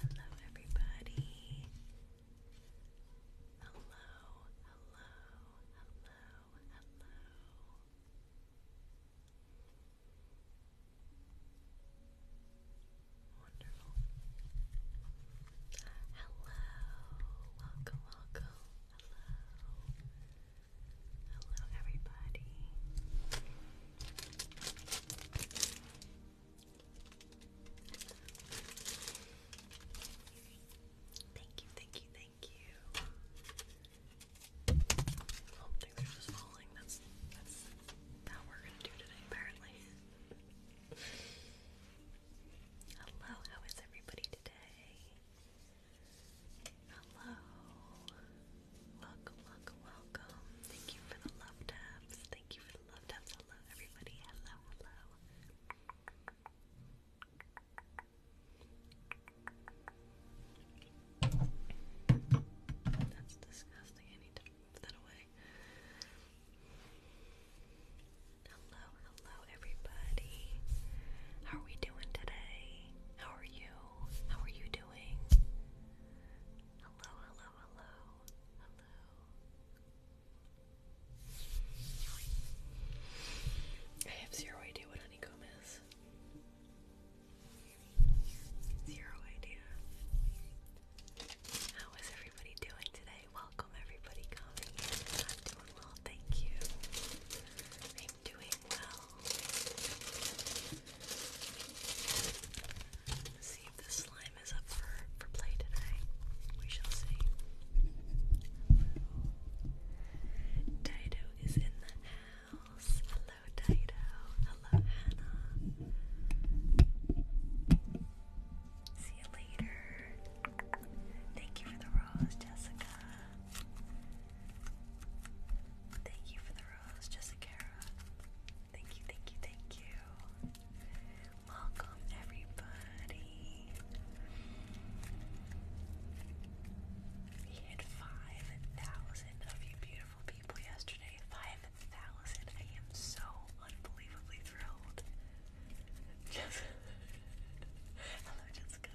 Hello, everybody. Hello, hello, hello, hello. Wonderful. Hello, welcome, welcome. Hello. Hello, everybody. Thank you, thank you, thank you. Oh, things just falling. That's that's we're gonna do today, apparently. Hello, how is everybody today? Hello. Welcome, welcome, Thank you for the love taps. Thank you for the love taps. Hello, everybody. Hello, That's disgusting. I need to put that away. Hello, hello, everybody. How are we doing today? How are you? How are you doing? Hello, hello, hello, hello. I have zero idea what honeycomb is. Zero idea. How is everybody doing today? Welcome, everybody, coming. i doing well, thank you. I'm doing well. See if this slime is up for for play today. We shall see. Dido is in the house. Hello, Dido. Hello, Hannah. See you later. Thank you for the rose, Jessica. Thank you for the Rose, Jessica. Thank you, thank you, thank you. Welcome, everybody. We hit 5,000 of you beautiful people yesterday. 5,000. I am so unbelievably thrilled. Jessica. Hello, Jessica.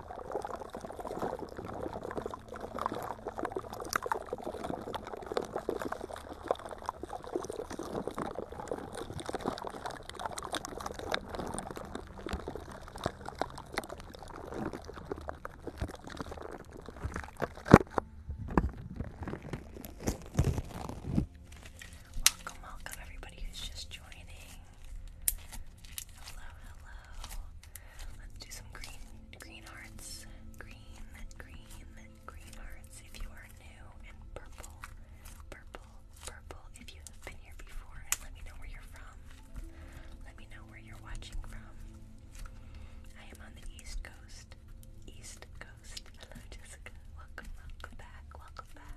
Welcome, welcome everybody who's just joining. Hello, hello. Let's do some green green hearts. Green, green, green hearts if you are new and purple, purple, purple if you have been here before and let me know where you're from. Let me know where you're watching from. I am on the East Coast. East Coast. Hello Jessica. Welcome, welcome back, welcome back.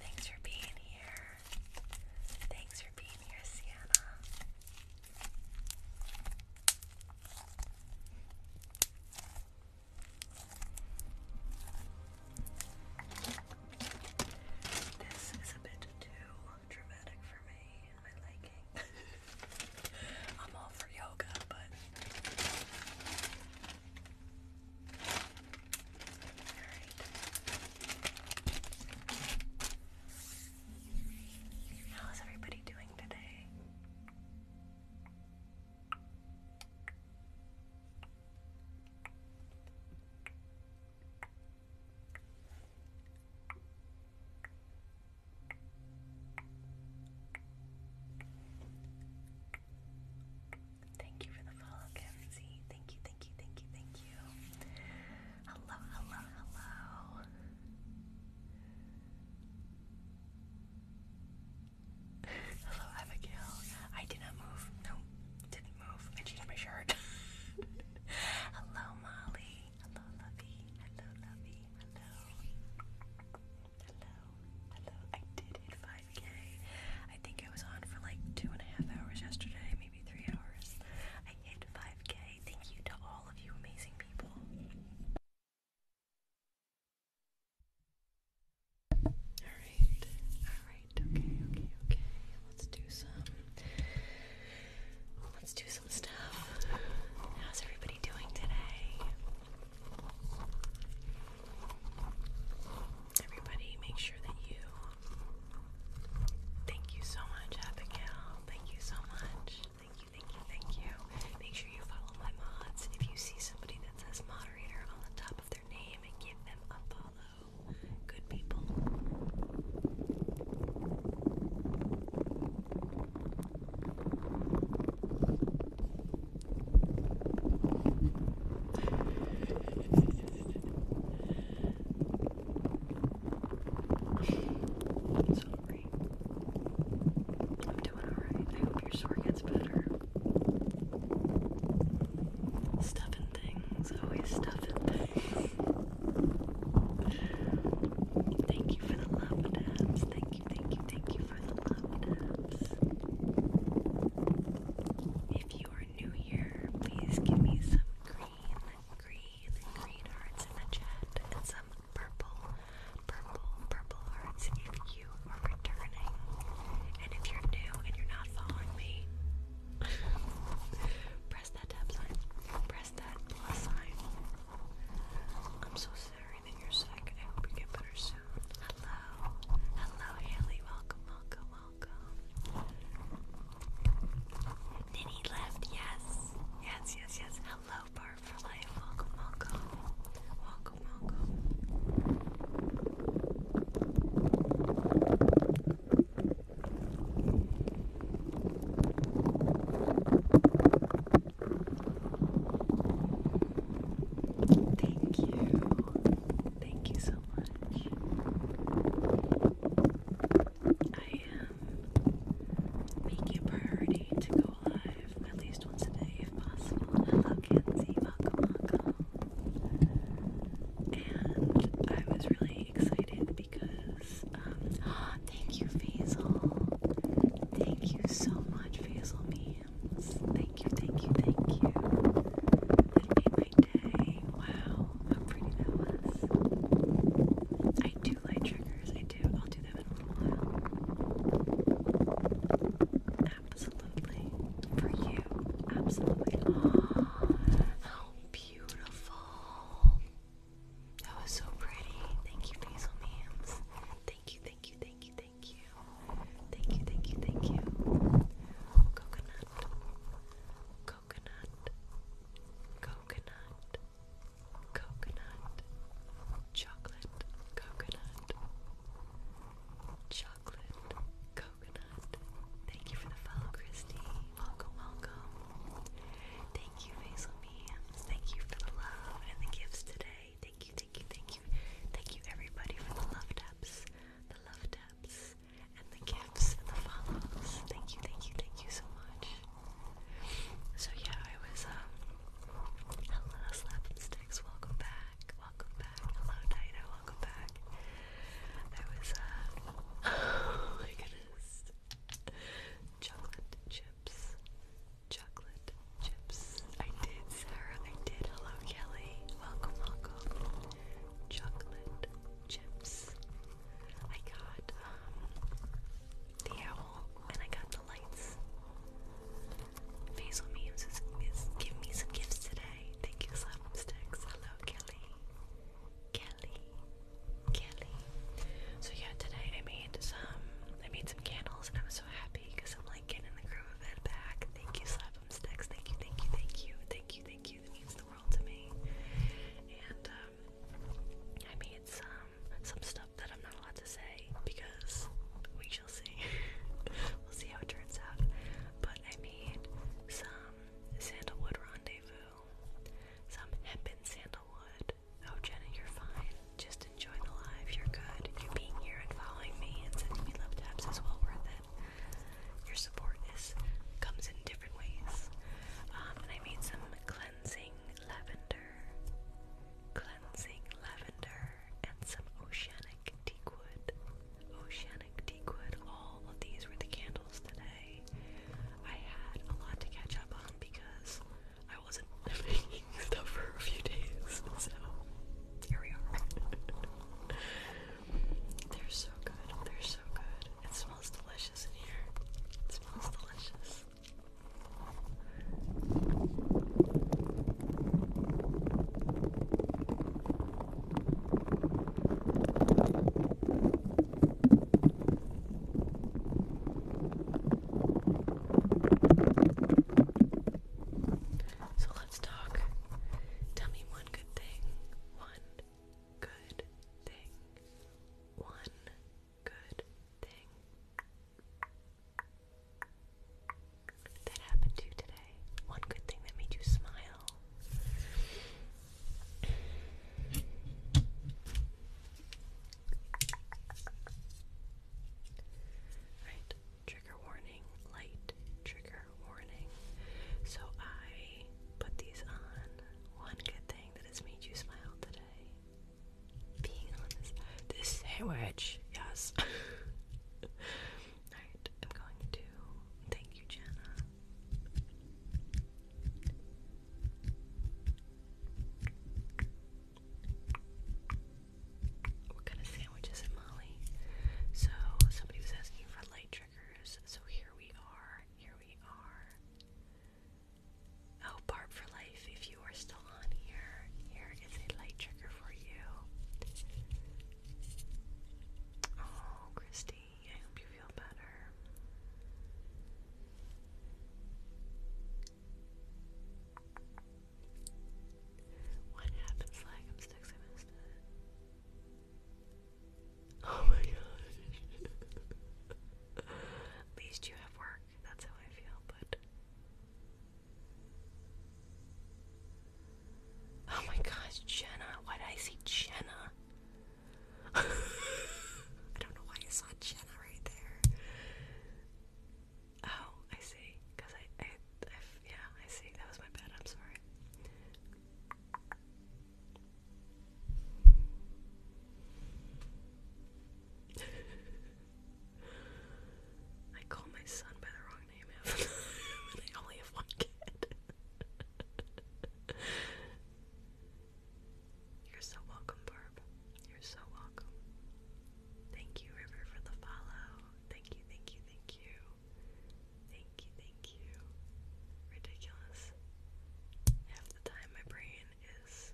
Thanks for being here. Thanks for being here, Sienna. This is a bit too dramatic for me and my liking. I'm all for yoga, but how is everybody doing today? Thank you for the follow, Kenzie. Thank you, thank you, thank you, thank you. Hello, hello, hello. hello, Abigail. I did not move. No, didn't move. I changed my shirt. hello, Molly. Hello, Lovey. Hello, Lovey. Hello. Hello. Hello. I did hit 5k. I think I was on for like two and a half hours yesterday, maybe three hours. I hit 5k. Thank you to all of you amazing people. Alright, alright, okay, okay, okay. Let's do some let's do some stuff. How's everybody doing today? everybody, make sure that you thank you so much, Abigail. Thank you so much. Thank you, thank you, thank you. Make sure you follow my mods. If you see somebody that says moderator on the top of their name, and give them a follow. Good people sorry. I'm doing alright. I hope your sore gets better. Stuff things, always oh, stuff things. thank you for the love dabs. Thank you, thank you, thank you for the love dabs. If you you are new here, please give me some green, green, green hearts in the chat and some purple, purple, purple hearts if you are returning. And if you're new and you're not following me, press that tab sign. Press that plus sign. I'm so sorry that you're sick. I hope you get better soon. Hello. Hello, Haley. Welcome, welcome, welcome. Nini left, yes. Yes, yes, yes. Hello, Bar for Life. Welcome, welcome. Welcome, welcome. Thank you. Thank you so much. I am making a priority to go live at least once a day if possible. Hello, Kenzie. Welcome, And I was really excited because, um, thank you, Faisal. Thank you so much, Faisal Memes. Thank you, thank you, thank you. Wow, how pretty that was. I do like triggers, I do. I'll do them in a little while. Absolutely. For you. Absolutely. Oh, how beautiful. That was so pretty. Thank you, Basil Memes. Thank you, thank you, thank you, thank you. Thank you, thank you, thank you. Coconut, coconut, coconut, coconut, chocolate, coconut, chocolate, coconut. Thank you for the follow, Christy. Welcome, welcome. Thank you, Basil Memes. Thank you for the love and the gifts today. Thank you, thank you, thank you. Thank you, everybody, for the love taps. The love taps and the gifts and the follows. Thank you, thank you, thank you so much. So yeah, I was um hello slapsticks, welcome back, welcome back, hello Dido, welcome back. I was uh oh my goodness. Chocolate chips. Chocolate chips. I did, Sarah, I did. Hello Kelly. Welcome, welcome chocolate chips. I got um, the owl and I got the lights. Basil Memes is, is me some gifts today. Thank you, Slapsticks. Hello, Kelly. Kelly. Kelly. So yeah, today I made some I made some candles and I was so happy because I'm like blanket and the groove of back. Thank you, Slap'em Sticks. Thank you, thank you, thank you, thank you, thank you. That means the world to me. And um, I made some um, some stuff that I'm not allowed to say because we shall see. we'll see how it turns out. But I made some sandalwood rendezvous, some hempen sandalwood. Oh, Jenna, you're fine. Just enjoy the live. You're good. You being here and following me and sending me love taps is well worth it. Your support is comes in different ways. Um, and I made some cleansing lavender, cleansing lavender, and some oceanic teakwood. Oceanic teakwood. All of these were the candles today. I had a lot to catch up on because I wasn't making stuff for a few days. So here we are. They're so good. They're so good. It smells delicious in here. It smells delicious. So let's talk. Tell me one good thing, one good thing, one good thing that happened to you today, one good thing that made you smile. Right, trigger warning, light trigger warning. So I put these on. One good thing that has made you smile today. Being on this sandwich, yes. Alright, I'm going to thank you, Jenna. What kind of sandwich Molly? So somebody was asking for light triggers, so here we are. Here we are. Oh, Barb for Life, if you are still on here, here is a light trigger for you. Oh, Christy, I hope you feel better. What happens? Like I'm sticks, I Oh my gosh. At least you have work. That's how I feel, but. Oh my gosh, Jenna. Why did I see Jenna? I don't know why I saw Jenna right there. Oh, I see. Because I, I, yeah, I see. That was my bad. I'm sorry. I call my son by the wrong name half only have one kid. You're so welcome, Barb. You're so welcome. Thank you, River, for the follow. Thank you, thank you, thank you. Thank you, thank you. Ridiculous. Half the time my brain is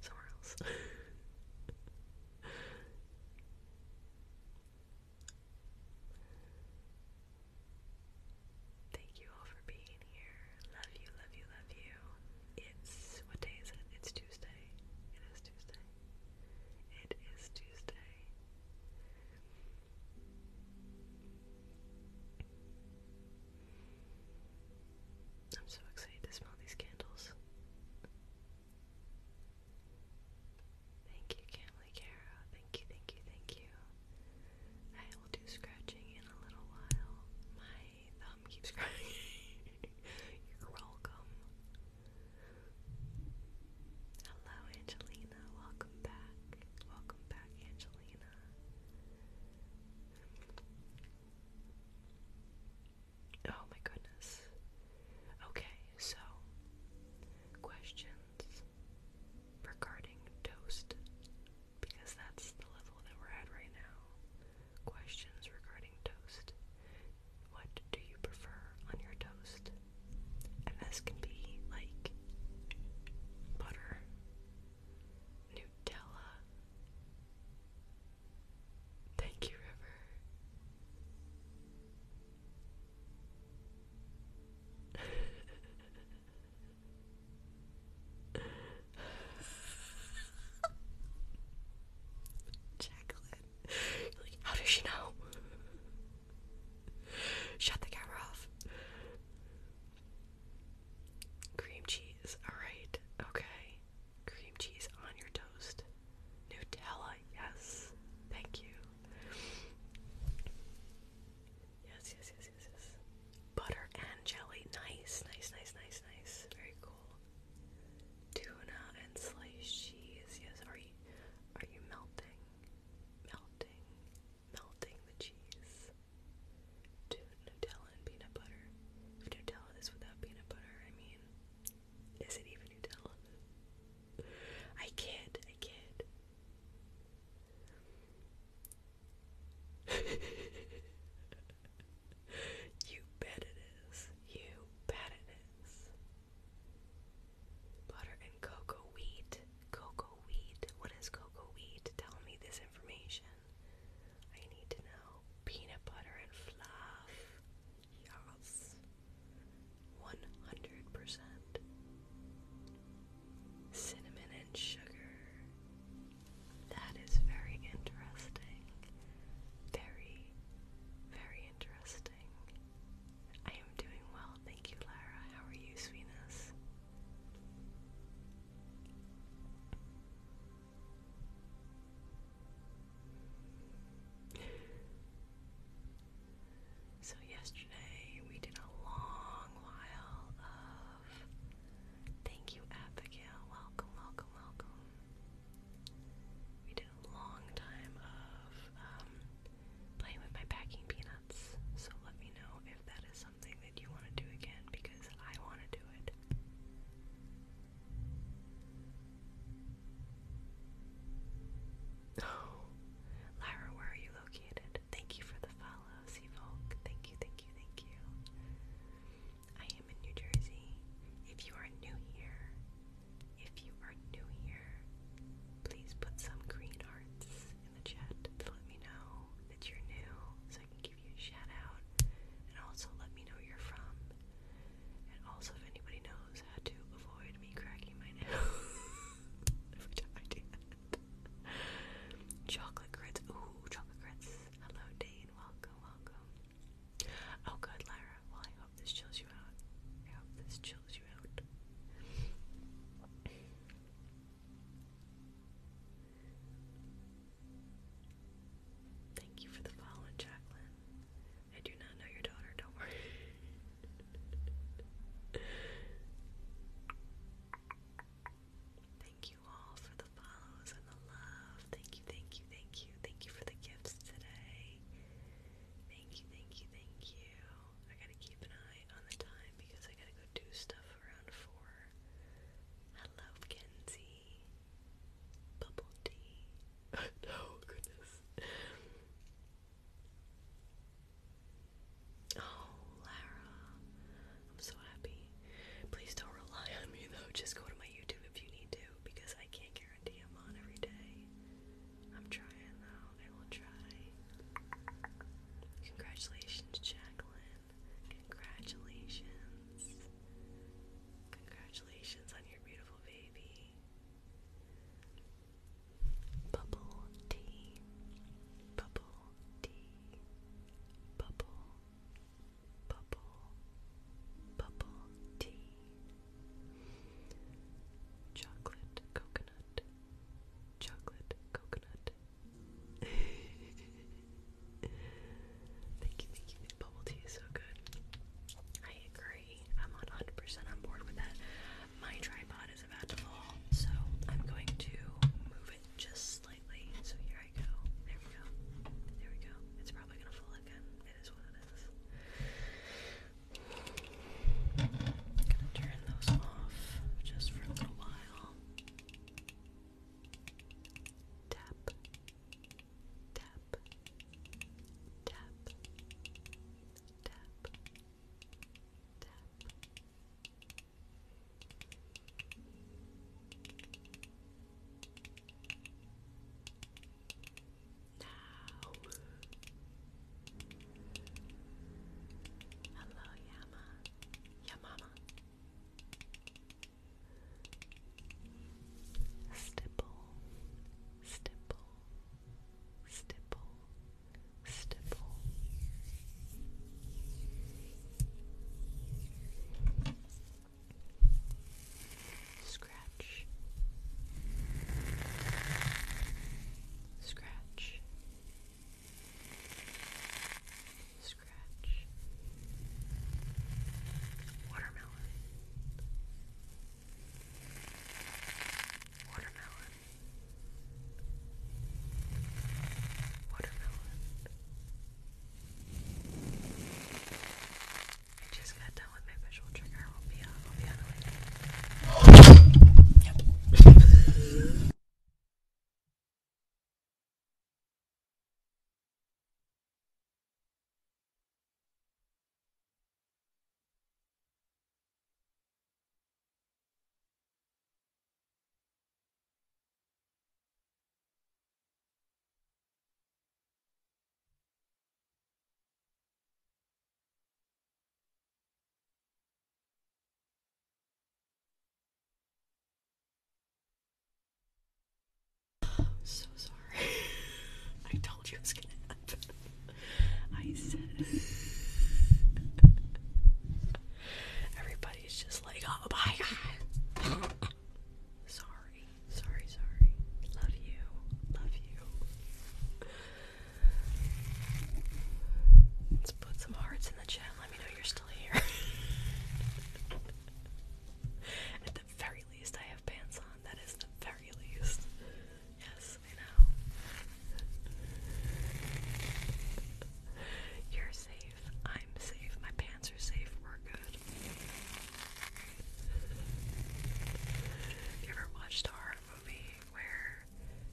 somewhere else. Thank you all for being here. Love you, love you, love you. It's what day is it? It's Tuesday. It is Tuesday. It is Tuesday. I'm so excited to smell these candles. Thank you, Camly Cara. Thank you, thank you, thank you. I will do scratching in a little while. My thumb keeps crying. You're welcome. Hello, Angelina. Welcome back. Welcome back, Angelina. Oh my goodness. Okay, so questions regarding toast, because that's the level that we're at right now. Questions regarding toast. What do you prefer on your toast? And this can be like butter, Nutella. Thank you, River. Jacqueline. Like, how does she know? Shut the camera off. Cream cheese, alright, okay. Cream cheese on your toast. Nutella, yes. Thank you. Yes, yes, yes, yes, yes. Butter and jelly. Nice, nice, nice, nice, nice. Very cool. Tuna and sliced cheese. Yes, are you are you melting? melting, melting the cheese to Nutella and peanut butter. If Nutella is without peanut butter, I mean, is it even Nutella? I can't, I can't. you bet it is. You bet it is. Butter and cocoa wheat. Cocoa wheat. What is cocoa wheat? Tell me this information. I need to know. Peanut butter and fluff. Yes. 100%. Cinnamon and sugar. That is very interesting. Very, very interesting. I am doing well, thank you, Lara. How are you, sweetness? So, yesterday we did a long while of thank you, Abigail. Welcome, welcome, welcome. We did a long time of um, playing with my packing peanuts. So let me know if that is something that you want to do again because I want to do it. Oh, Lyra, where are you located? Thank you for the follow, Sea Volk. Thank you, thank you, thank you. I am in New Jersey. If you are new here, if you are new here, please put some green hearts in the chat to let me know that you're new so I can give you a shout out. And also let me know where you're from. And also if anybody knows how to avoid me cracking my nose. Every time I do that. Chocolate grits. Ooh, chocolate grits. Hello Dane. Welcome, welcome. Oh good, Lyra this chills you out. I this chills you out. Thank you for the follow, Jacqueline. I do not know your daughter, don't worry. thank you all for the follows and the love. Thank you, thank you, thank you. Thank you for the gifts today. Thank you, thank you, thank you. I gotta keep an eye on the time because I gotta go do stuff around four. Hello, Kenzie. Bubble tea. no, oh, goodness. Oh, Lara. I'm so happy. Please don't rely on me though. Just go to my YouTube if you need to because I can't guarantee I'm on every day. I'm trying though, I will try. Congratulations, Jacqueline. Congratulations. Congratulations on your beautiful baby. Bubble tea. Bubble tea. Bubble. Bubble. Bubble tea. Chocolate coconut chocolate coconut. thank you, thank you. Bubble tea is so good. I agree. I'm 100% on board with that. My tripod is about to fall, so I'm going to move it just slightly. So here I go. There we go. There we go. It's probably gonna fall again. It is what it is. I'm gonna turn those off just for a little while. tap, tap, tap, tap. Tap, now. Hello, Yama. Yamama. Stipple, stipple, stipple, stipple. Scratch, Scratch. Scratch. Watermelon. Watermelon. Watermelon. I just got done what my visual trigger will be on. I'll be on the way. Yep. So sorry. I told you it was gonna happen. I said everybody's just like, oh my god. sorry, sorry, sorry. Love you. Love you. Let's put some hearts in the chat. Let me know you're still here. At the very least, I have pants on. That is the very least. Yes, I know. You're safe. I'm safe. My pants are safe. We're good. you ever watched a horror movie where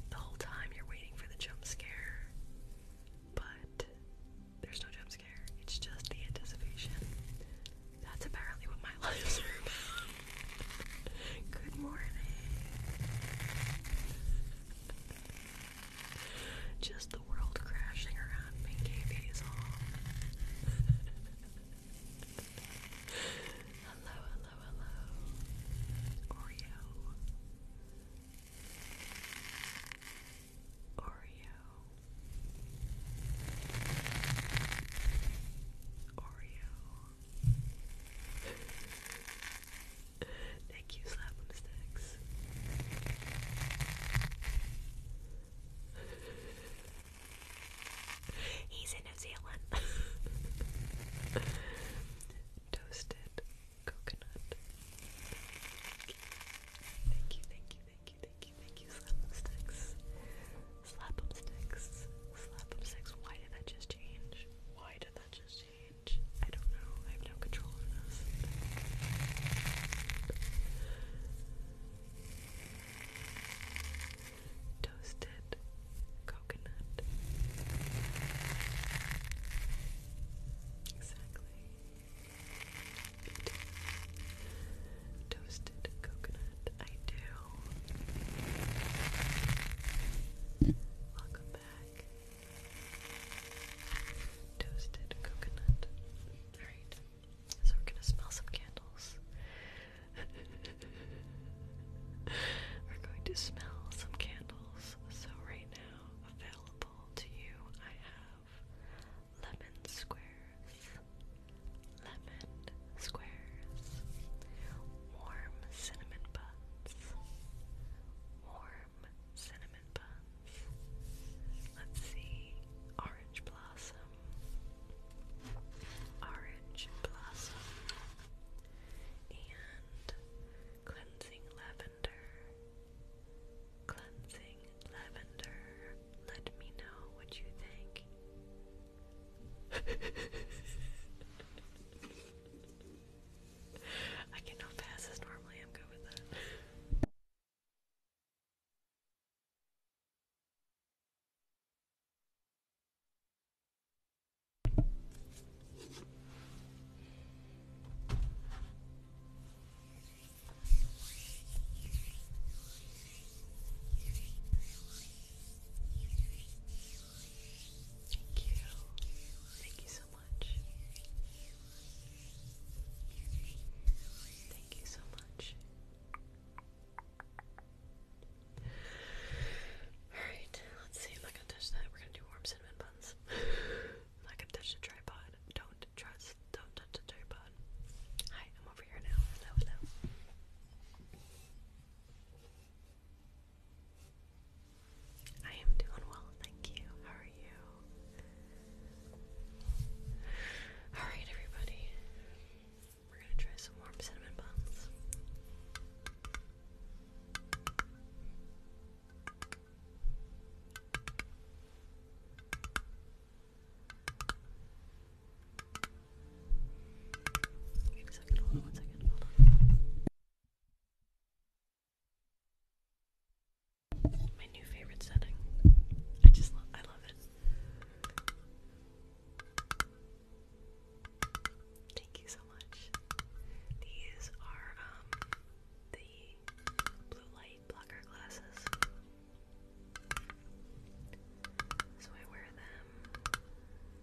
the whole time you're waiting for the jump scare, but there's no jump scare, it's just the anticipation. That's apparently what my life is. about. Good morning. Just the world crashing around me, KB's all. hello, hello, hello, Oreo, Oreo, Oreo. Thank you, slap on the sticks. He's in New Zealand. Toasted coconut. Thank you, thank you, thank you, thank you, thank you, slap em sticks. Slap em sticks. Slap em sticks. Why did that just change? Why did that just change? I don't know. I have no control over this toasted coconut. Exactly. Toasted coconut. I do. Welcome back. Toasted coconut. Alright. So we're gonna smell some candles. We're going to smell some candles. So, right now, available to you, I have lemon squares, lemon squares, warm cinnamon buns, warm cinnamon buns. Let's see, orange blossom. Orange blossom, and cleansing lavender. Cleansing lavender. Let me know what you think. I can go fast as normally I'm good with that. Thank you. Thank you so much. Thank you so much. Alright, let's see. I'm not gonna touch that. We're gonna do warm cinnamon buns. I'm touch the tripod. Don't trust. Don't touch the tripod. Hi, I'm over here now. hello. I am doing well, thank you. How are you? Alright, everybody. We're gonna try some warm cinnamon buns. Wait hold on one second, hold on. My new favorite setting. I just I love it. Thank you so much. These are um, the blue light blocker glasses. So I wear them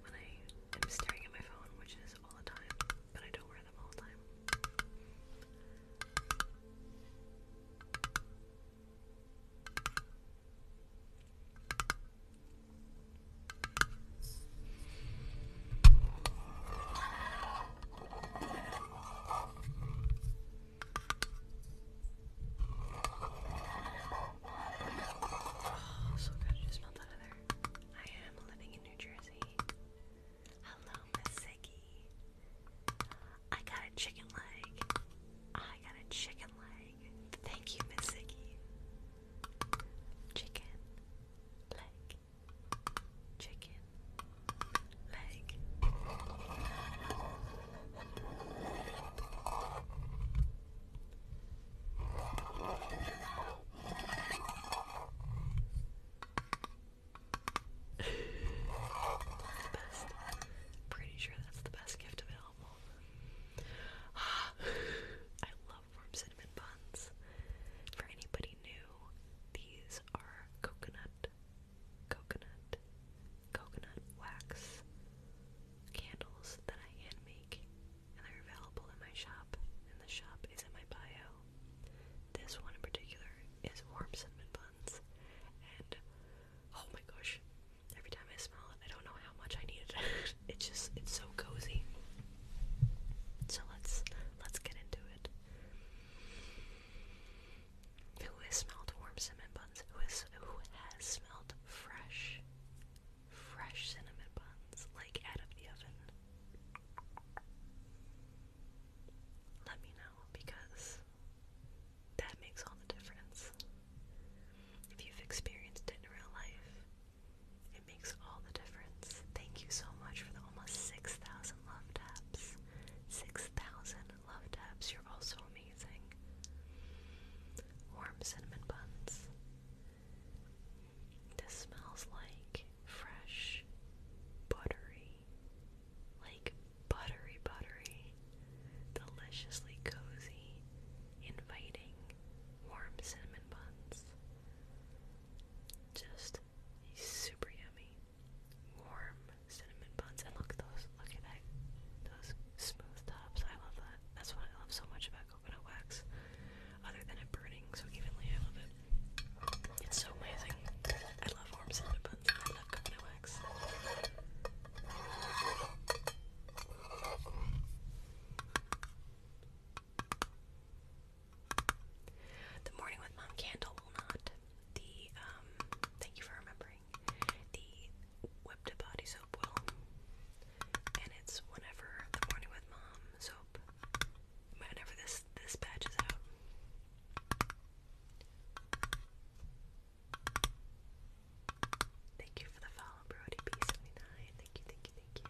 when I am staring at my phone, which is all the time, but I don't wear them all the time. Oh, so good. You smelled that I am living in New Jersey. Hello, Miss I got a chicken leg. I got a chicken leg. Thank you, Miss Ziggy. Chicken leg. Chicken leg. Pretty sure that's the best gift available. I love warm cinnamon buns. For anybody new, these are coconut, coconut, coconut wax candles that I hand make, and they're available in my shop, and the shop is in my bio. This one in particular is warm cinnamon buns, and oh my gosh, Every time I smell it, I don't know how much I need it. it's just it's so cozy. So let's let's get into it. Who has smelled warm cinnamon buns? Who is who has smelled fresh, fresh cinnamon buns like out of the oven? Let me know because that makes all the difference. If you've experienced it in real life, it makes all the difference. Thank you so much for the almost 6,000 love taps. 6,000 love taps. You're also amazing. Warm cinnamon buns. This smells like fresh, buttery, like buttery, buttery, deliciously cozy, inviting, warm cinnamon buns. Just super yummy, warm cinnamon buns. And look at those, look at that, those smooth tops. I love that. That's what I love so much about coconut wax, other than it burning so evenly. I love it. It's so amazing. I love warm cinnamon buns. I love coconut wax. The Morning with Mom candle will not. The, um, thank you for remembering. The Whipped Body Soap will. And it's whenever the Morning with Mom soap, whenever this, this batch is out. Thank you for the follow, Brody P 79 Thank you, thank you, thank you.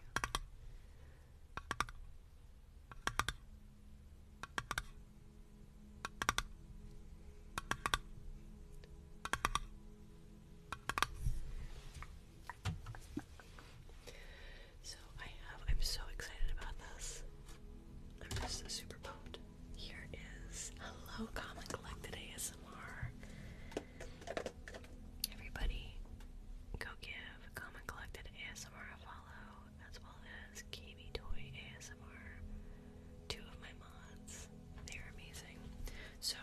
So I have, I'm so excited about this. I'm just super pumped. Here is Hello Comic Collected ASMR. Everybody, go give Common Collected ASMR a follow, as well as KB Toy ASMR. Two of my mods. They're amazing. So,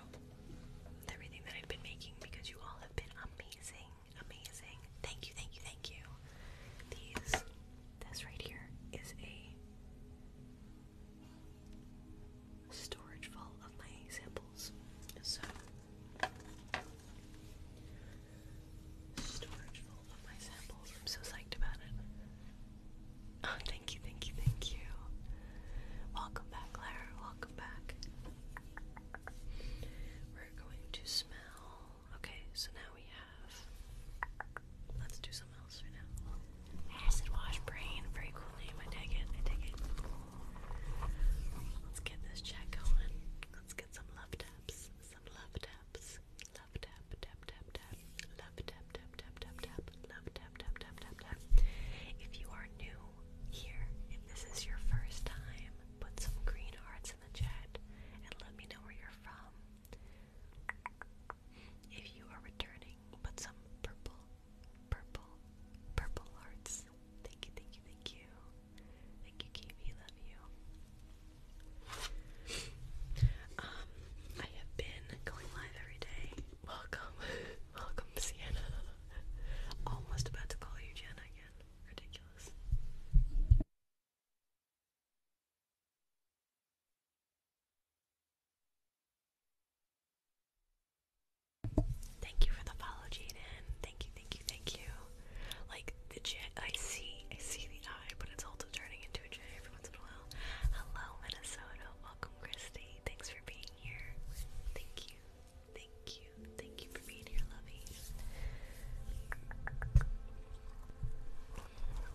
everything that I've been making, because you all have been amazing, amazing. Thank you, thank you, thank you. These, this right here is a storage full of my samples. storage full of my samples. I'm so psyched about it. Oh, thank you, thank you, thank you. Welcome back, Clara. Welcome back. We're going to smell. Okay, so now we have. Let's do something else right now. Acid wash brain. Very cool name. I dig it. I dig it. Let's get this chat going. Let's get some love taps. Some love taps. Love tap, tap, tap, tap. Love tap, tap, tap, tap, tap. Love tap, tap, tap, tap, tap. If you are new here, if this is your first time, put some green hearts in the chat and let me know where you're from. If you are returning, put some purple Purple, purple hearts. Thank you, thank you, thank you. Thank you, Kiwi. Love you. Um, I have been going live every day. Welcome, welcome, Sienna. Almost about to call you Jenna again. Ridiculous. Thank you for the follow, Jaden. Thank you, thank you, thank you. Like the J, I see, I see the eye, but it's also turning into a J every once in a while. Hello, Minnesota. Welcome, Christy. Thanks for being here. Thank you, thank you, thank you for being here, lovey.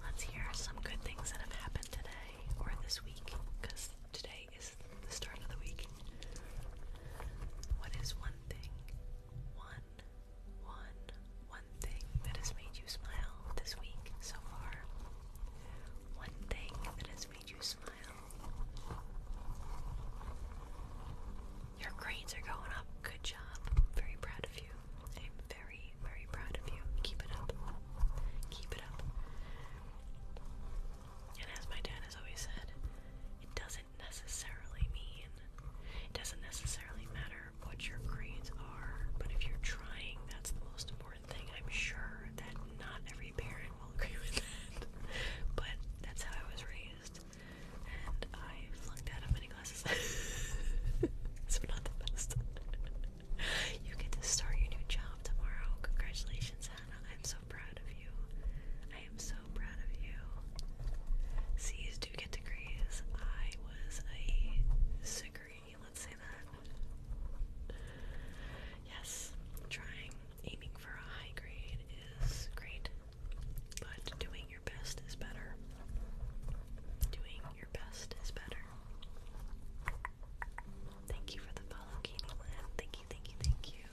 Let's hear some good things that have happened today or this week, because today is the start of the week. What is one thing, one, one, one thing that has made you smile this week so far? One thing that has made you smile. Your grades are going up. Good job. I'm very proud of you. I'm very, very proud of you. Keep it up. Keep it up. And as my dad has always said, it doesn't necessarily mean, it doesn't necessarily matter what your grades are, but if you're trying, that's the most important thing. I'm sure that not every parent will agree with that, but that's how I was raised. And I flunked out of many classes. so not the best. you get to start your new job tomorrow. Congratulations, I'm so proud of you. I am so proud of you. C's do get degrees. I was a sugary, let's say that. Yes, trying, aiming for a high grade is great, but doing your best is better. Doing your best is better. Thank you for the follow, Katie Lynn. Thank you, thank you, thank you.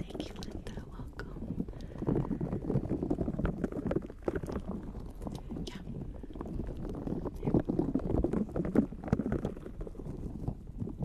Thank you, Linda. Welcome. Yeah. There.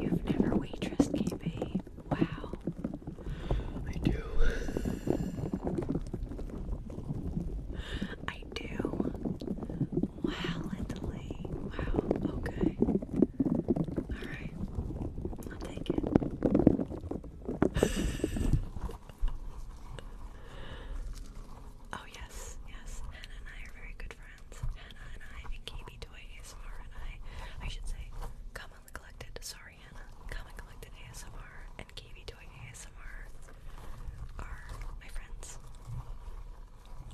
You've never waitressed, KB. Wow. I do. I do. Wow, Italy. Wow. Okay. All right. I'll take it. Oh yes, yes. Hannah and I are very good friends. Hannah and I and KB Toy ASMR and I I should say Common Collected, sorry Hannah. Common Collected ASMR and KB Toy ASMR are my friends.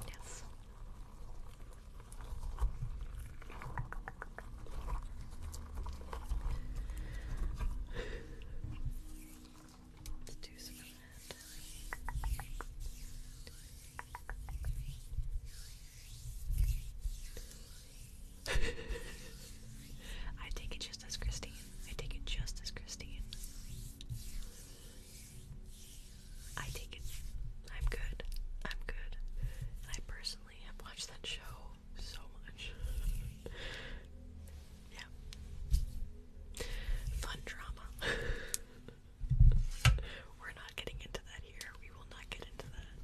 Yes. I take it just as Christine. I take it just as Christine. I take it. I'm good. I'm good. I personally have watched that show so much. Yeah. Fun drama. We're not getting into that here. We will not get into that.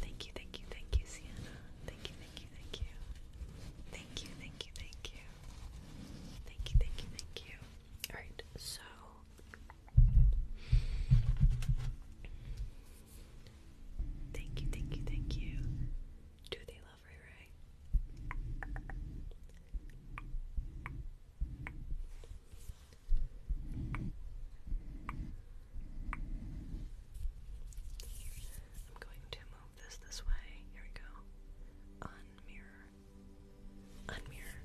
Thank you, thank you, thank you, Sienna. Thank you, thank you, thank you. Thank you, thank you, thank you. Thank you, thank you, thank you. Alright, so. Thank you, thank you, thank you. Do they love Ray Ray? I'm going to move this this way. Here we go. Unmirror. Unmirror.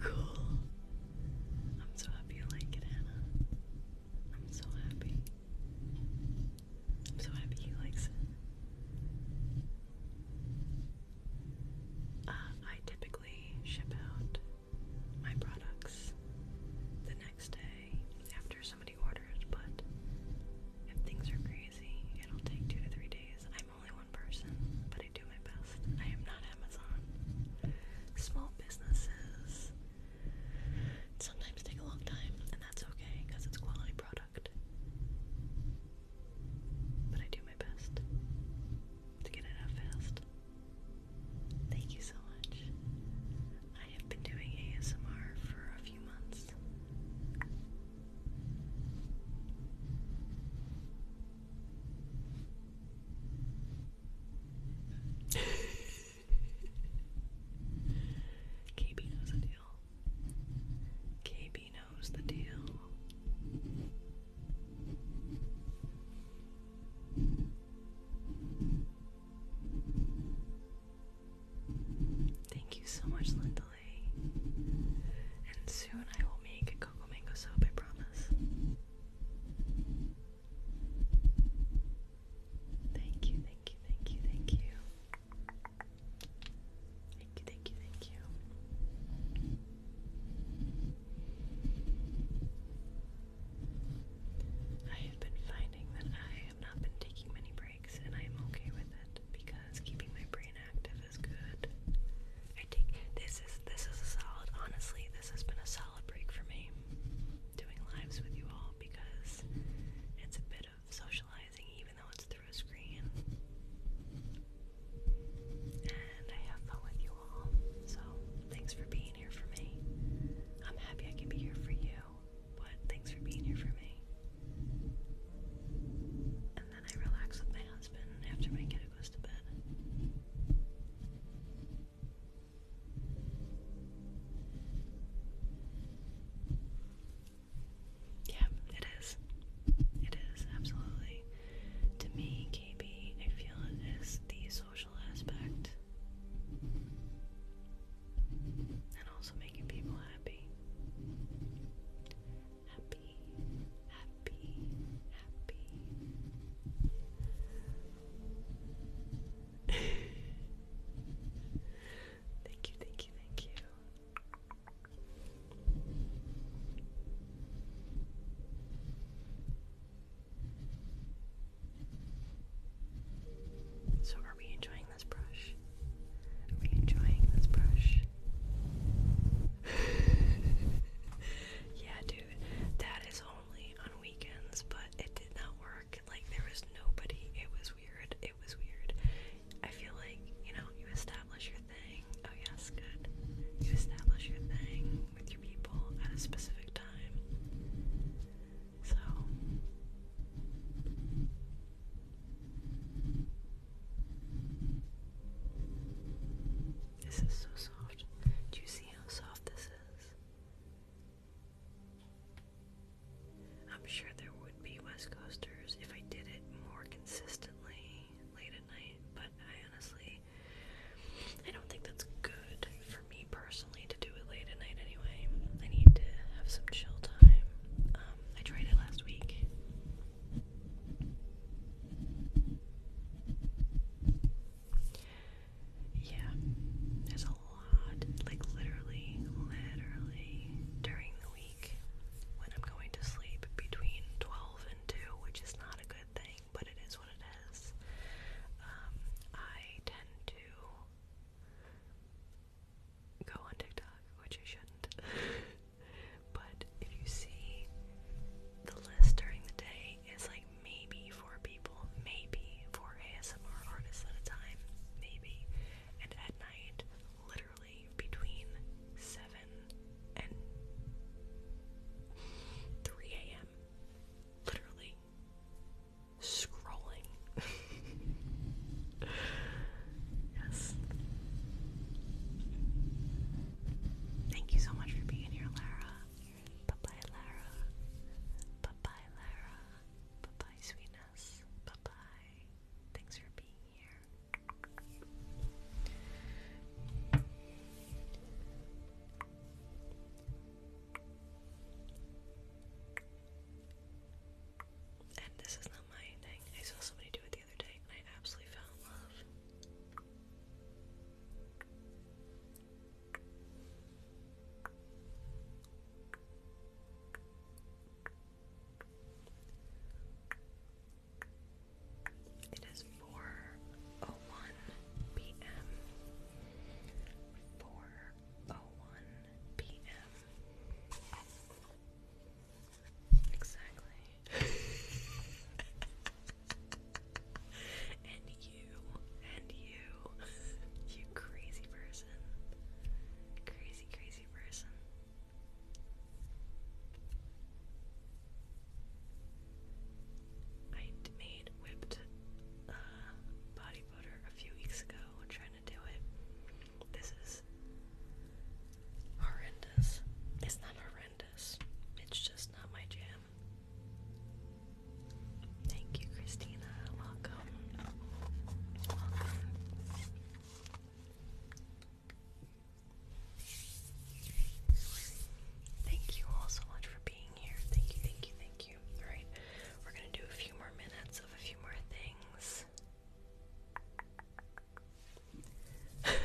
cool. I'm so happy you like it, Hannah. I'm so happy. I'm so happy he likes it. I typically ship out my products the next day after somebody orders, but if things are crazy, it'll take two to three days. I'm only one person, but I do my best. I am not Amazon. Small businesses sometimes take a long time, and that's okay because it's quality product. But I do my best to get it out fast. Thank you so much. I have been doing ASMR for a few months. KB knows the deal. KB knows the deal. Thank you so much, Linda And soon I will make a cocoa mango soap, I promise. Thank you, thank you, thank you, thank you. Thank you, thank you, thank you. I have been finding that I have not been taking many breaks, and I am okay with it because keeping my brain active is good. I think this is this is a solid. Honestly, this has been a solid break for me doing lives with you all because it's a bit of socializing, even though it's through a screen. And I have fun with you all. So thanks for being here for me. I'm happy I can be here for you, but thanks for being here for me. And then I relax with my husband after my kiddo to Yeah, it is. It is, absolutely. To me, KB, I feel it is the social aspect. And also making people happy. Happy, happy, happy. thank you, thank you, thank you. So, are we enjoying this brush? Are we enjoying this brush? yeah, dude, that is only on weekends, but it did not work. Like, there was nobody. It was weird. It was weird. I feel like, you know, you establish your thing. Oh, yes, good. You establish your thing with your people at a specific time. So. This is so soft. Do you see how soft this is? I'm sure there would be West Coasters if I did it more consistently late at night, but I honestly I don't think that's good for me personally to do it late at night anyway. I need to have some chill time. Um, I tried it last week. Yeah, there's a lot, like literally, literally during the week when I'm going to sleep between 12 and 2, which is not a good thing, but it is what it is. Um, I tend to go on TikTok, which I shouldn't, but if you see the list during the day, it's like maybe four people, maybe four ASMR artists at a time, maybe. And at night, literally between 7 and 3 a.m., literally scrolling. yes. Thank you so much for being here, Lara. Bye bye, Lara. Bye bye, Lara. Bye bye, sweetness. Bye bye. Thanks for being here. And this is not my thing. I saw somebody do it the other day and I absolutely fell in love. It is four oh one p.m. Four oh one p.m. Exactly. and you, and you, you crazy person, crazy, crazy person. I made whipped uh, body butter a few weeks ago. I'm trying to do it. This is horrendous. It's not horrendous. It's just not my jam. Thank you, Christina. Welcome. Thank you all so much for being here. Thank you, thank you, thank you. Alright, we're gonna do a few more minutes of a few more things.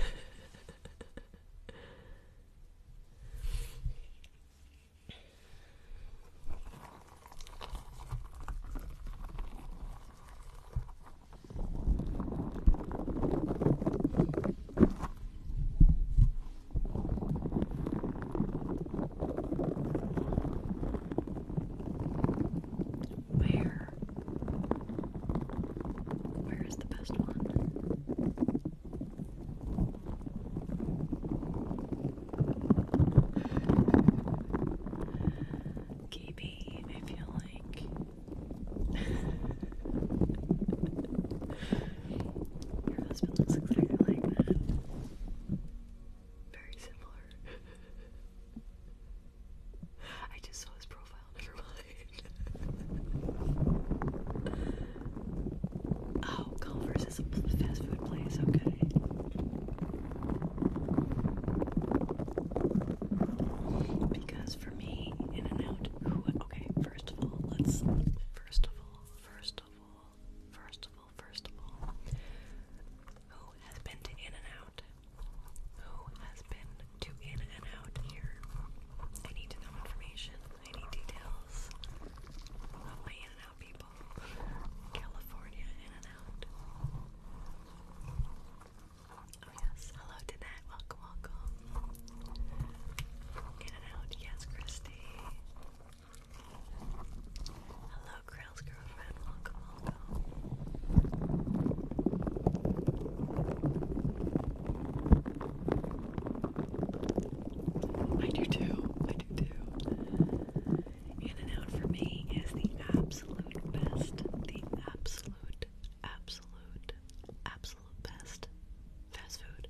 Where? Where is the best one? Keepy, I feel like your husband looks exactly like that. Very similar. I just saw his profile, oh, Culver's is a fast food place. Okay. Because for me, In and Out. Okay. First of all, let's. First of all, first of all, first of all, first of all, who has been to In and Out? Who has been to In and Out here? I need to know information tiny details of my In and Out people. California In and Out. Oh, yes. Hello to that. Welcome, welcome. In and Out. Yes, Christy. Hello, Krell's girlfriend. Welcome, welcome. I do too. I do too. In and out for me is the absolute best. The absolute, absolute, absolute best fast food.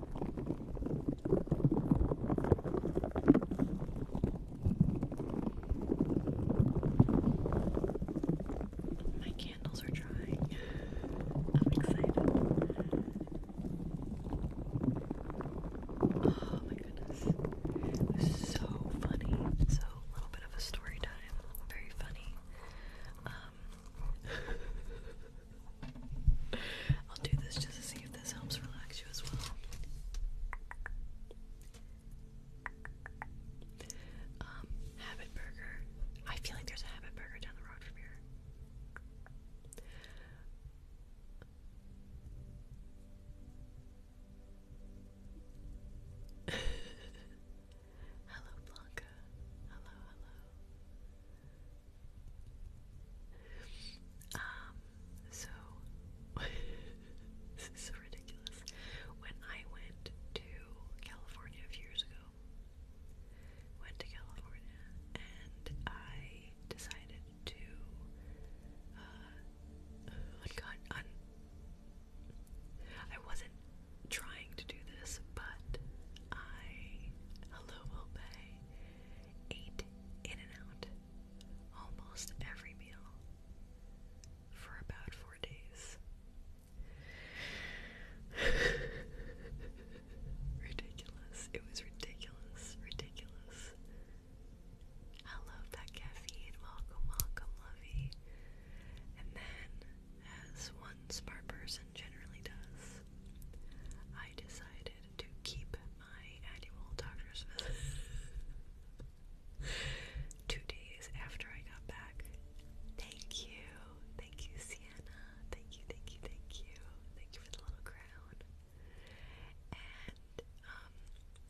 My candles are drying. I'm excited. Oh my goodness. so funny. So a little bit of a story time. Very funny. Um I'll do this just to see if this helps relax you as well. Um, Habit Burger. I feel like there's a Habit Burger down the road from here. hello, Blanca. Hello, hello. Um, so this is so ridiculous. When I went to California a few years ago, went to California and I decided to uh, I wasn't trying to do this, but I hello will pay ate in and out almost every meal for about four days. ridiculous. It was ridiculous. Ridiculous. I love that caffeine. Welcome, welcome, lovey. And then, as one smart person generally does, I decided to keep my annual doctor's visit two days after I got back. Thank you. Thank you, Sienna. Thank you, thank you, thank you. Thank you for the little crown. And um,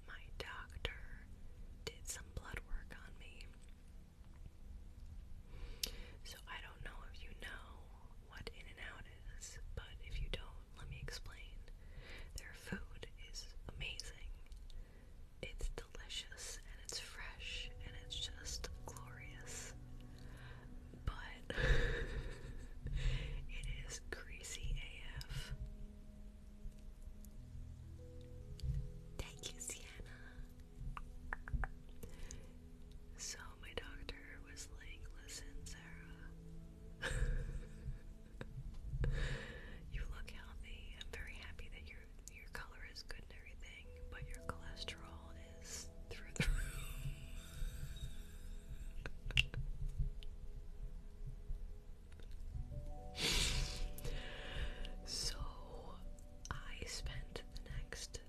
my doctor did some blood work on me. So I don't know if you know what In and Out but if you don't, let me explain. Their food is amazing. It's delicious and it's fresh and it's just glorious. But it is greasy AF. Thank you, Sienna. So my doctor was like, listen, Sarah, you look healthy. I'm very happy that your your color is good and everything, but your cholesterol is through the roof. so I spent the next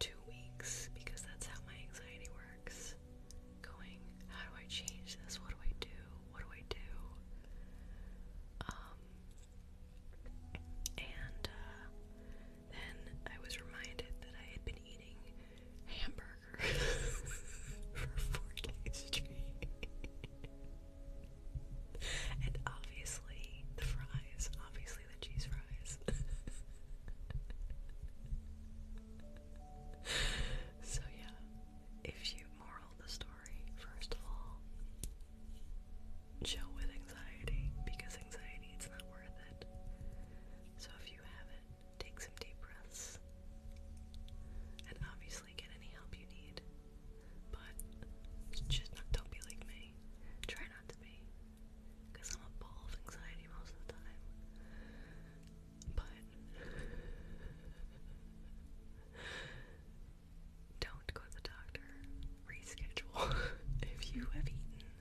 two weeks because that's how my anxiety works. Going, how do I change this? What do I do? What do I do? Um, and uh, then I was reminded that I had been eating hamburgers for four days straight. and obviously, the fries, obviously obviously so yeah, if you moral the story, first of all, chill with anxiety because anxiety it's not worth it. So if you have it, take some deep breaths and obviously get any help you need. But just don't be like me. Try not to be because I'm a ball of anxiety most of the time. But don't go to the doctor. Reschedule if you have eaten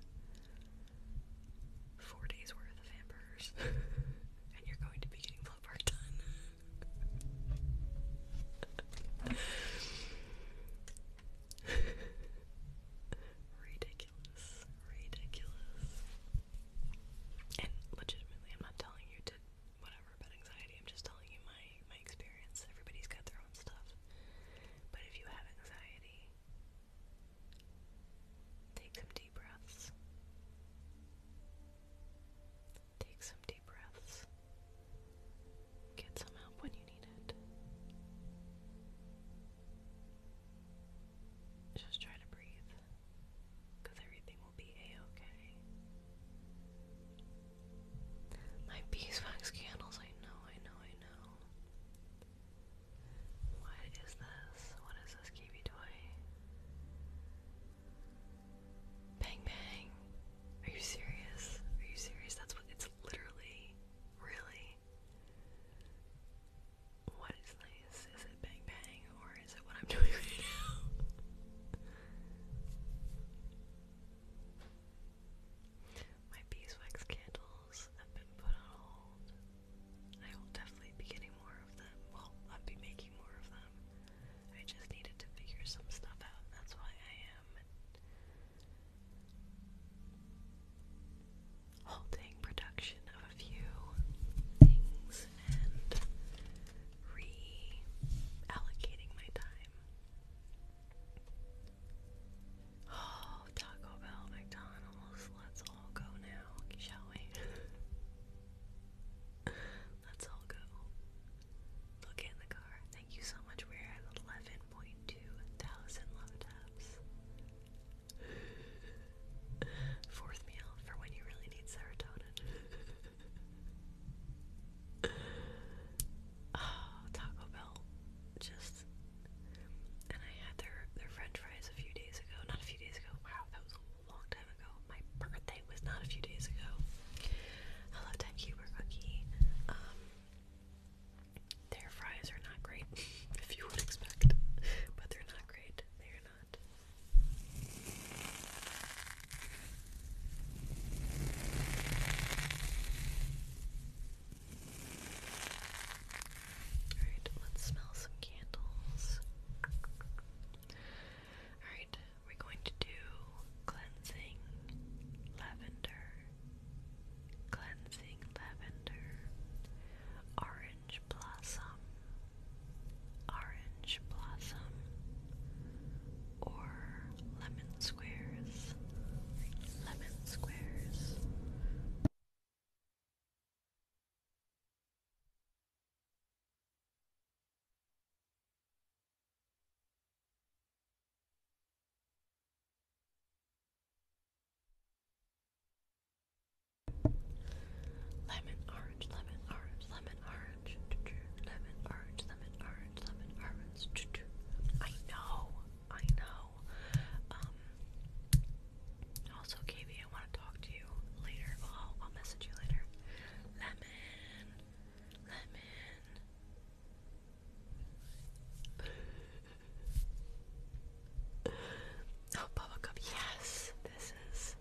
four days worth of hamburgers and you're going to be getting blood work done. Read ridiculous, ridiculous. And legitimately, I'm not telling you to whatever about anxiety. I'm just telling you my my experience. Everybody's got their own stuff. But if you have anxiety, take some deep breaths. Take some deep breaths. Get some help when you need it. Just try to breathe, because everything will be a-okay. My beeswax candles, I know, I know, I know. What is this? What is this Kiwi toy? Bang bang! Are you serious? Are you serious? That's what it's literally, really. What is this? Is it bang bang or is it what I'm doing right now? My beeswax candles have been put on hold. I will definitely be getting more of them. Well, I'll be making more of them. I just needed to figure some stuff out. That's why I am halting production of a few things and reallocating my time. Oh, Taco Bell, McDonald's, let's all go now, shall we? Let's all go. we in the car. Thank you so much. We're at 11.2 thousand love taps. Fourth meal for when you really need serotonin. oh, Taco Bell. Just and I had their their French fries a few days ago. Not a few days ago. Wow, that was a long time ago. My birthday was not a few days ago. Hello, Tech Huber Cookie. Um, their fries are not great, if you would expect, but they're not great. They are not. Alright, let's smell some candles. Alright, we're going to do cleansing lavender cleansing lavender, orange blossom, orange blossom, or lemon squares, lemon squares. Lemon orange, lemon orange, lemon orange, lemon orange, lemon orange, lemon orange. I know, I know. Um, also, KB, I want to talk to you later. I'll, I'll message you later. Lemon, lemon. Oh, bubble Yes, this is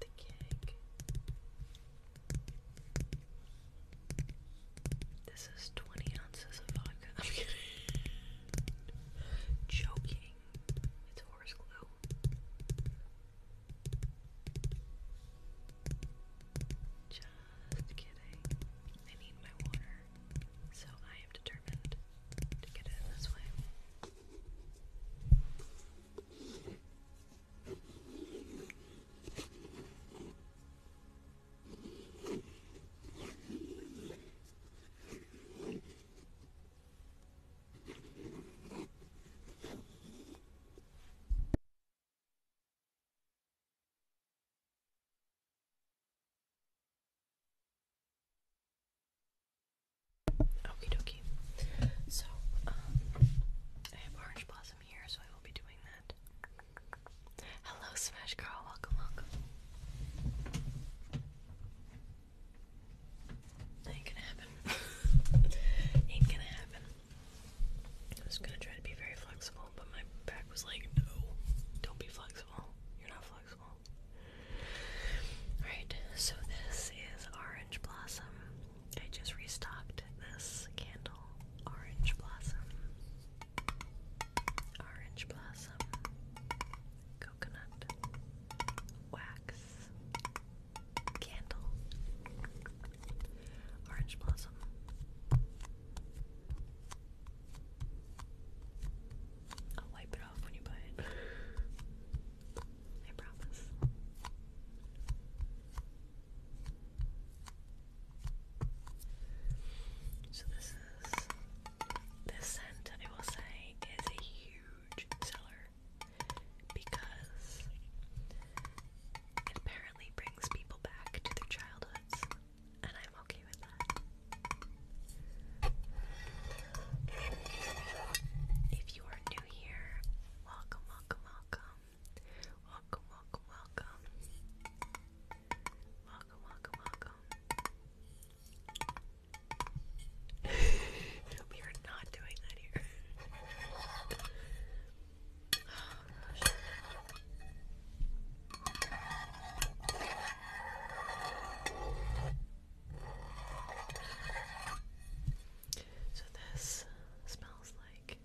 the cake. This is 20 ounces of vodka. I'm kidding. Joking. It's horse glue. Just kidding. I need my water, so I am determined to get it this way. Okie dokie. So, um, I have Orange Blossom here, so I will be doing that. Hello, Smash Girl. Welcome, welcome. Ain't gonna happen. Ain't gonna happen. I'm just gonna try to be very flexible but my back was like, no, don't be flexible. You're not flexible. Alright, so this is Orange Blossom. I just restocked this candle. Orange Blossom. Orange Blossom. Coconut. Wax. Candle. Orange Blossom. I'll wipe it off when you buy it. I promise. So this is this scent I will say is a huge seller because it apparently brings people back to their childhoods okay If you are new here, welcome, welcome. Welcome, welcome, welcome. Welcome, welcome, welcome. we are not doing that here. So this smells like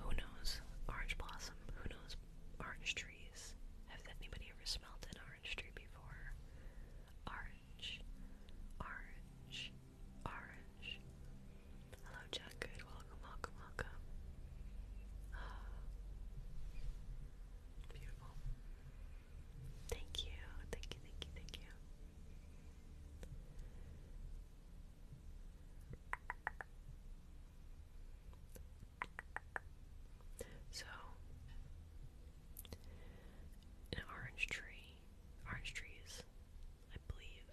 who knows orange blossom, who knows orange trees. Has anybody ever smelled an orange tree before? Orange, orange, orange, Hello, Jack. Good. Welcome, welcome, welcome. Ah. beautiful. Thank you. Thank you, thank you, thank you. So, an orange tree. Orange trees I believe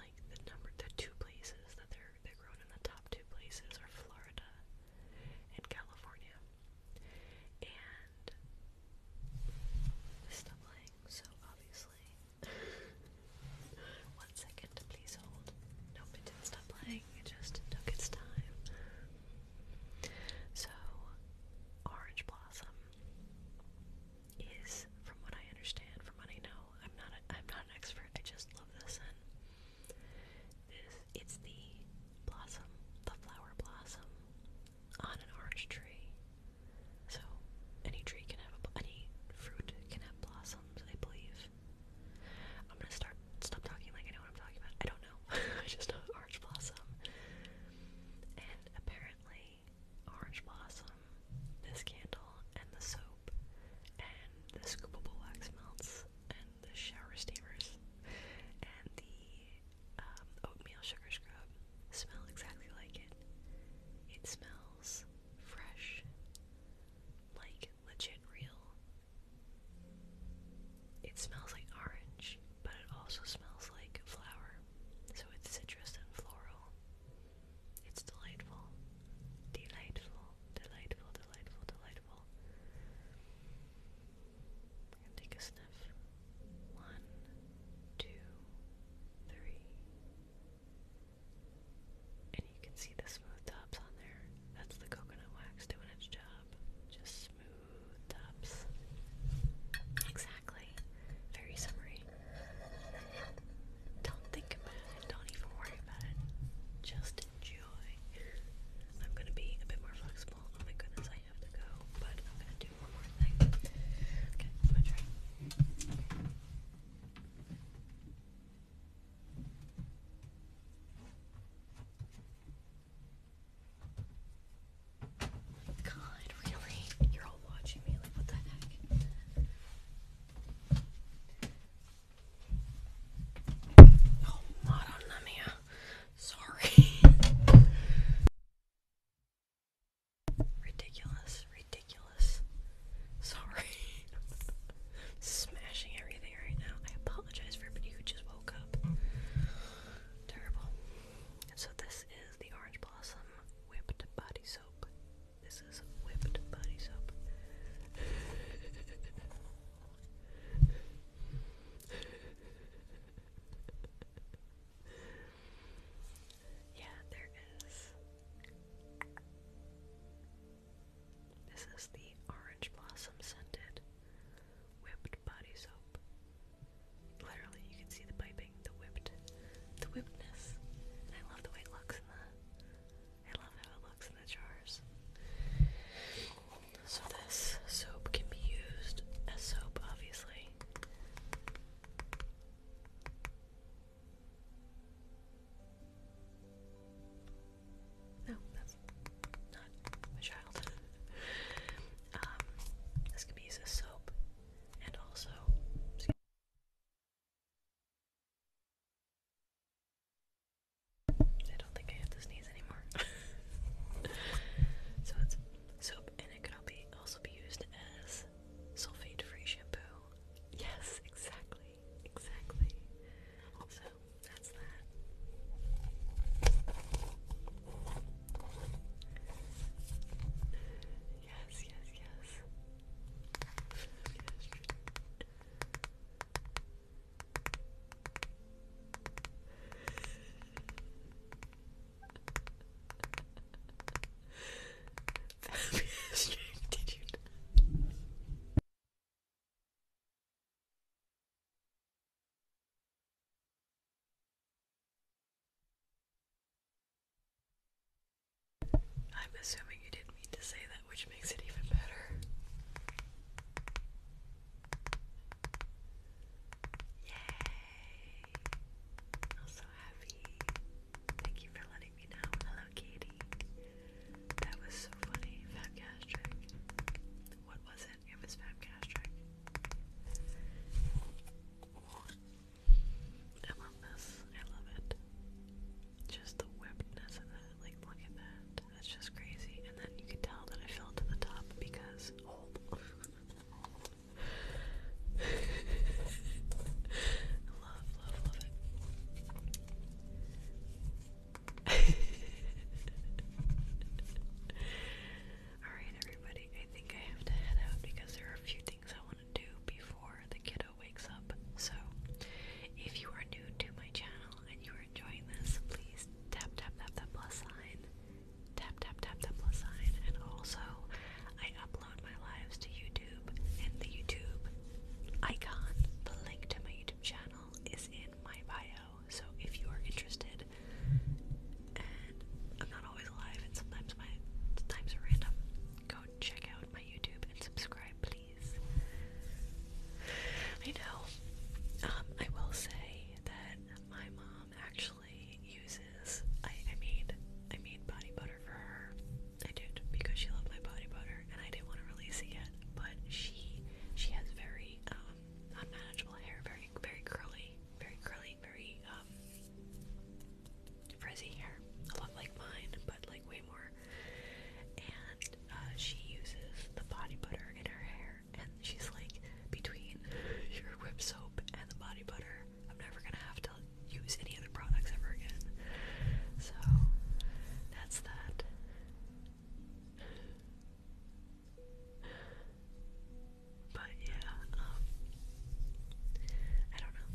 like the number the two places that they're they're grown in the top two places are Florida and California. And stop lying, so obviously. One second, please hold. Nope, it didn't stop lying, it just took its time. So Orange Blossom is, from what I understand, from what I know, I'm not a, I'm not an expert. I just this it's the blossom, the flower blossom on an orange tree. So any tree can have a, any fruit can have blossoms, I believe. I'm gonna start stop talking like I know what I'm talking about. I don't know. I just know orange blossom. And apparently, orange blossom, this candle, and the soap and the scoopable wax melts and the shower steamers and the um, oatmeal sugar scrub smell exactly like it. It smells fresh, like legit real. It smells like orange, but it also smells like flower, so it's citrus and floral. It's delightful. Delightful. Delightful, delightful, delightful. take a sniff. One, two, three. And you can see the smooth tops on there. That's the coconut wax doing its job. Just smooth tops. Exactly. Very summery. Don't think about it. Don't even worry about it. Just enjoy. I'm gonna be a bit more flexible. Oh my goodness, I have to go, but I'm gonna do one more thing. Okay, I'm try. God, really? You're all watching me like what the heck? Oh, madonna mia. Sorry. ridiculous, ridiculous. Sorry. Smashing everything right now. I apologize for everybody who just woke up. Terrible. so this is the Orange Blossom Whipped Body Soap this is whipped body soap. yeah, there is. This is the orange blossom scented whipped body soap. Literally, you can see the piping, the whipped, the whippedness. I love the way it looks in the I love how it looks in the jars. So this soap can be used as soap, obviously. No, that's not my child. Um, this can be used as soap, and also. I don't think I have to sneeze anymore. so it's soap, and it can also be used as sulfate-free shampoo. Yes, exactly, exactly. So that's that. Yes, yes, yes. Fabulous did you know? I'm assuming you didn't mean to say that, which makes it even better. Yay! I'm so happy. Thank you for letting me know. Hello, Katie. That was so funny. Fabgastric. What was it? It was Fabgastric. I love this. I love it just the whippedness of that. Like, look at that. That's just crazy. And then you can tell that I fell to the top because love, love, love it. Alright, everybody, I think I have to head out because there are a few things I want to do before the kiddo wakes up. So, if you are new to my channel and you are enjoying this, please tap, tap, tap that plus sign. Tap, tap, tap that plus sign. And also, I upload my lives to YouTube, and the YouTube icon, the link to my YouTube channel, is in my bio. So, if you are interested, I'm not always live, and sometimes my times are random, go check out my YouTube and subscribe, please. I know. Um, I will say that my mom actually uses. I, I made I made body butter for her. I did because she loved my body butter, and I didn't want to release it yet. But she she has very um, unmanageable hair, very very curly, very curly, very um, frizzy hair, a lot like mine, but like way more. And uh, she uses the body butter in her hair, and she's like, between your whip soap and the body butter, I'm never gonna have to use any other products ever again. So that's that. But yeah, um, I don't know.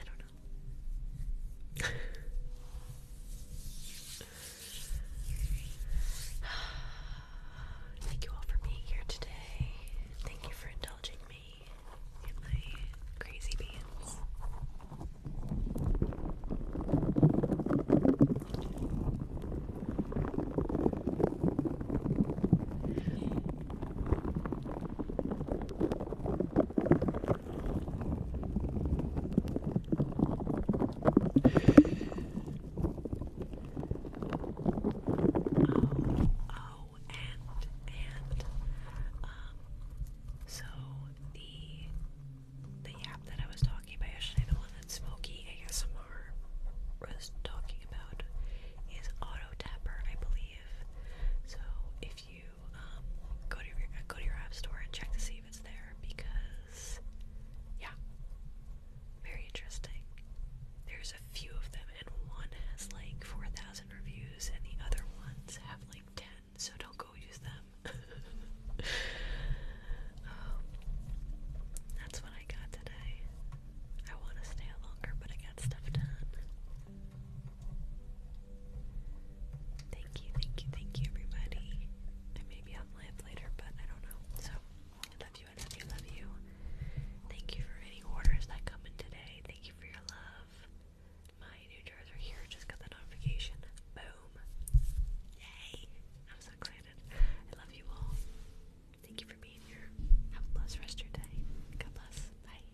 I don't know. Thank you all for being here today. Thank you for indulging me in my crazy beans. Oh, and and um, so the the app that I was talking about the one that Smokey ASMR was talking about, is Auto I believe. So if you you um, go to your go to your app store and check to see if it's there because yeah, very interesting. There's a few of them, and one has like four thousand reviews, and the other ones have like ten. So don't go use them. um, that's what I got today. I want to stay longer, but I got stuff done. Thank you, thank you, thank you, everybody. And maybe I'll later, but I don't know. So, I love you, I love you, love you. Thank you for any orders that come in today. Thank you for your love. My new jars are here. Just got the notification. Boom. Yay. I'm so excited. I love you all. Thank you for being here. Have a blessed rest of your day. God bless. Bye.